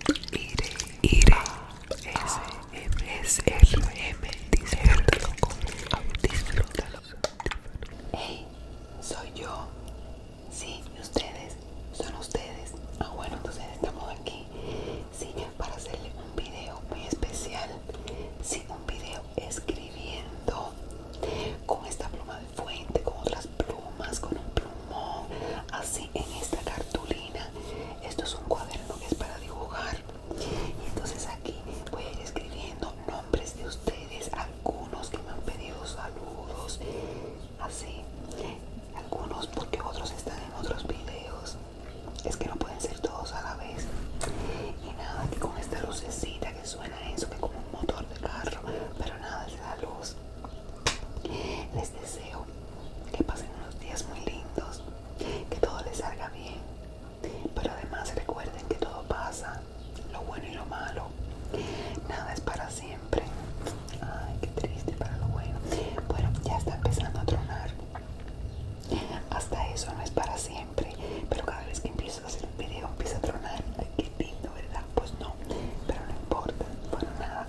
IRE, IRE, S, M, S, R, M, disfrútalo disfrútalo. Hey, soy yo. Sí, ustedes, son ustedes. Ah, bueno, entonces estamos aquí. Sí, para hacerle un video muy especial. Sí, un video escribiendo con esta pluma de fuente, con otras plumas, con un plumón, así en esta cartulina esto es un cuaderno que es para dibujar. Y entonces aquí voy a ir escribiendo nombres de ustedes, algunos que me han pedido saludos, así, algunos porque otros están en otros videos. Es que no pueden ser todos a la vez. Y nada, que con esta lucecita que suena eso, que como un motor de carro, pero nada, es la luz. Les deseo que pasen unos días muy lindos, que todo les salga bien, pero además recuerden que todo pasa, lo bueno y lo malo, nada es para siempre. Ay, qué triste para lo bueno. Bueno, ya está empezando a tronar. Hasta eso no es para siempre, pero cada vez que empiezo a hacer un video empieza a tronar. qué lindo, ¿verdad? Pues no, pero no importa, bueno, nada.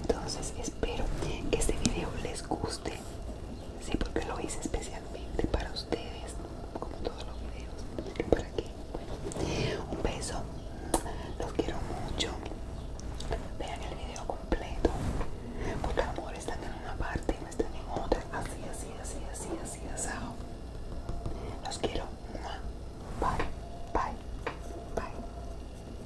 Entonces espero que este video les guste sí porque lo hice especialmente para ustedes como todos los videos un beso los quiero mucho vean el video completo porque a lo están en una parte y no están en otra así así así así así asado los quiero bye bye bye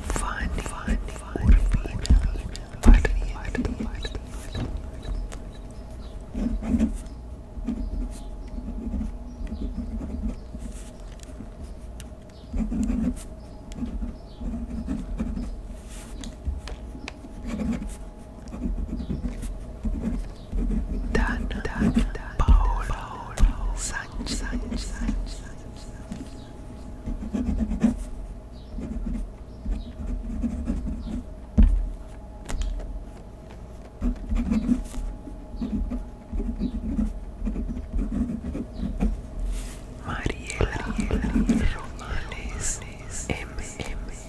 Fun, fun, fun, fun, Done, done, done, Paul, Paul, Paul, Paul, Sanj, Sanj, Sanj, Sanj, Sanj. Mariela, Mariela Romales, M, M, M, M.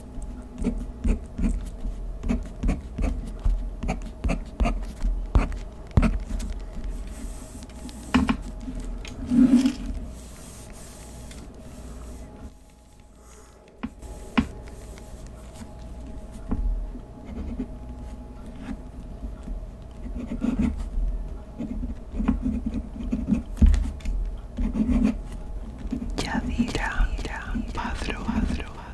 Ya dirán, Padro, Padro, Padro.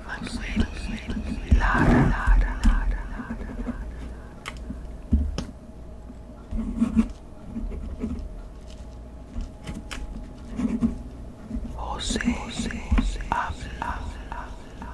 José Manuel Lara. Lara, Lara, Lara. José, José, José, habla, habla, habla.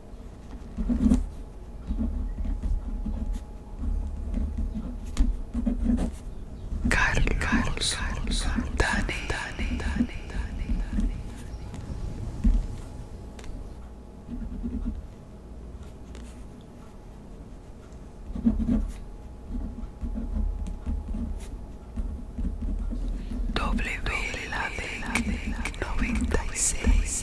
Carlos, Carlos, Dani, Dani, Dani, Dani, Dani. Doble, la de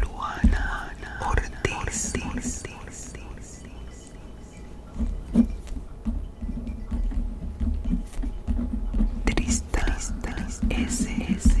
Luana Ortiz. Tristas S, S,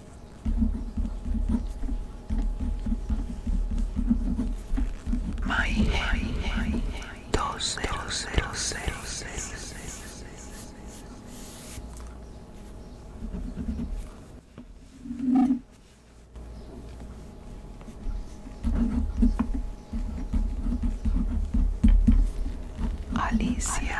My Alicia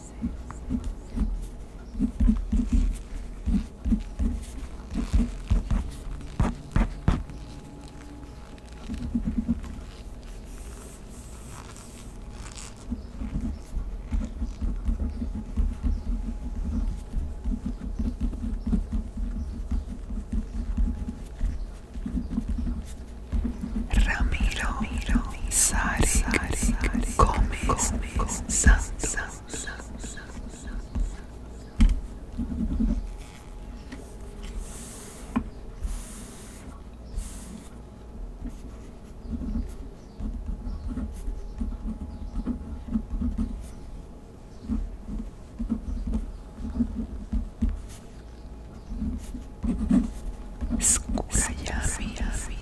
Ramiro, Ramiro Gomez sasa Santo. ya,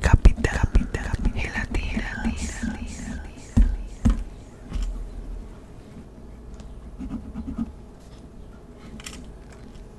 Capital, capital, capital, gelatina, tira.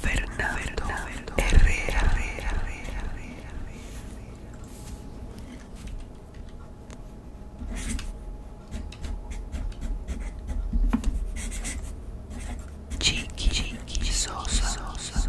Fernando, Herrera, Herrera. cheeky, cheeky, so, so, so, so, so.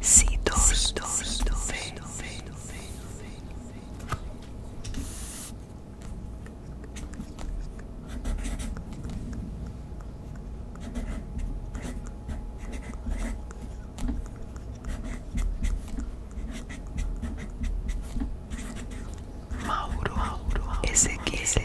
Si dos, dos, dos, Mauro, ese que, ese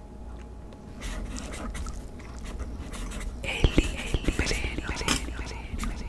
Eli, Eli, Belén, Belén, Belén, Belén.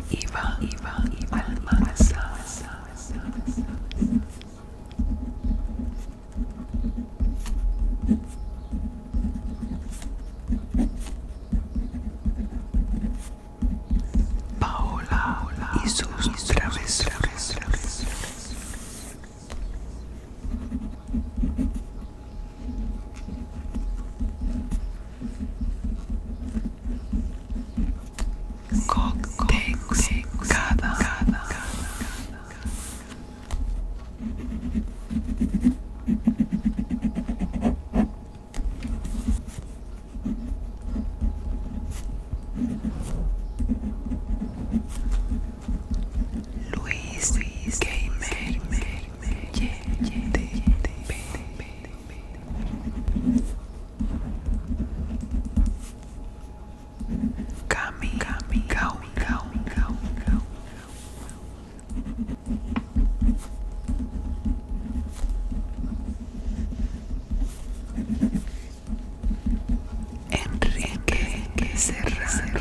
Eva, Eva, Eva, Almanza. Paola y sus travesuras. Coctexcada. Luis, Luis Gamer, Gamer, Gamer, Gamer, Gamer, Gamer, Gamer, Cami, Cami, Enrique, Serrano.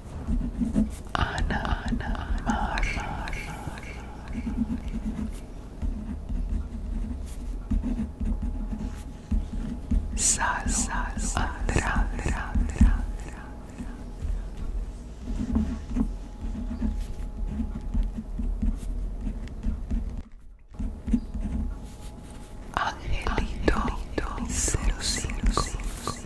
Ana, Mar, Sal, Angelito, Angelito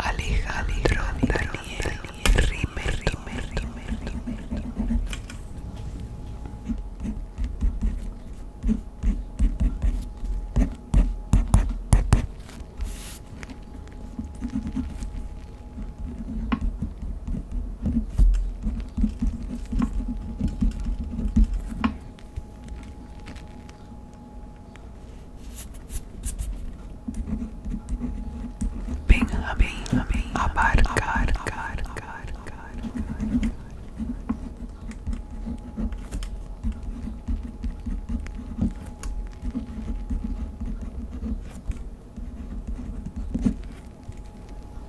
Alejandro Daniel Rimer, Rimer, Rimer, Rimer, Rimer. Bing, a bing, a bing, a bad, god, god, god, god.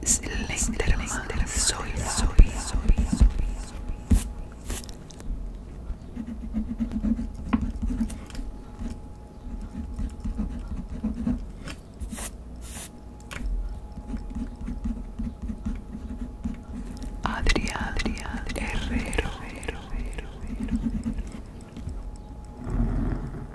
Slenderman, soy, soy, soy, soy soy Herrero.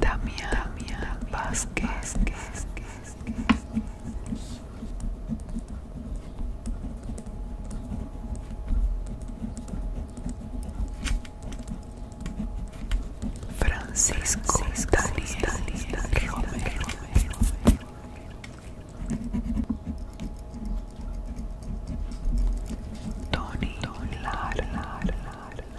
Damián, Damián Vázquez. Francisco, Daniel, Tony,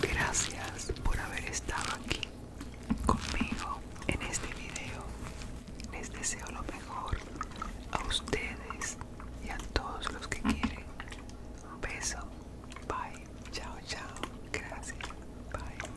Gracias por haber estado aquí conmigo en este video. Les deseo lo mejor a ustedes y a todos los que quieren. Un beso. Bye. Chao, chao. Gracias. Bye.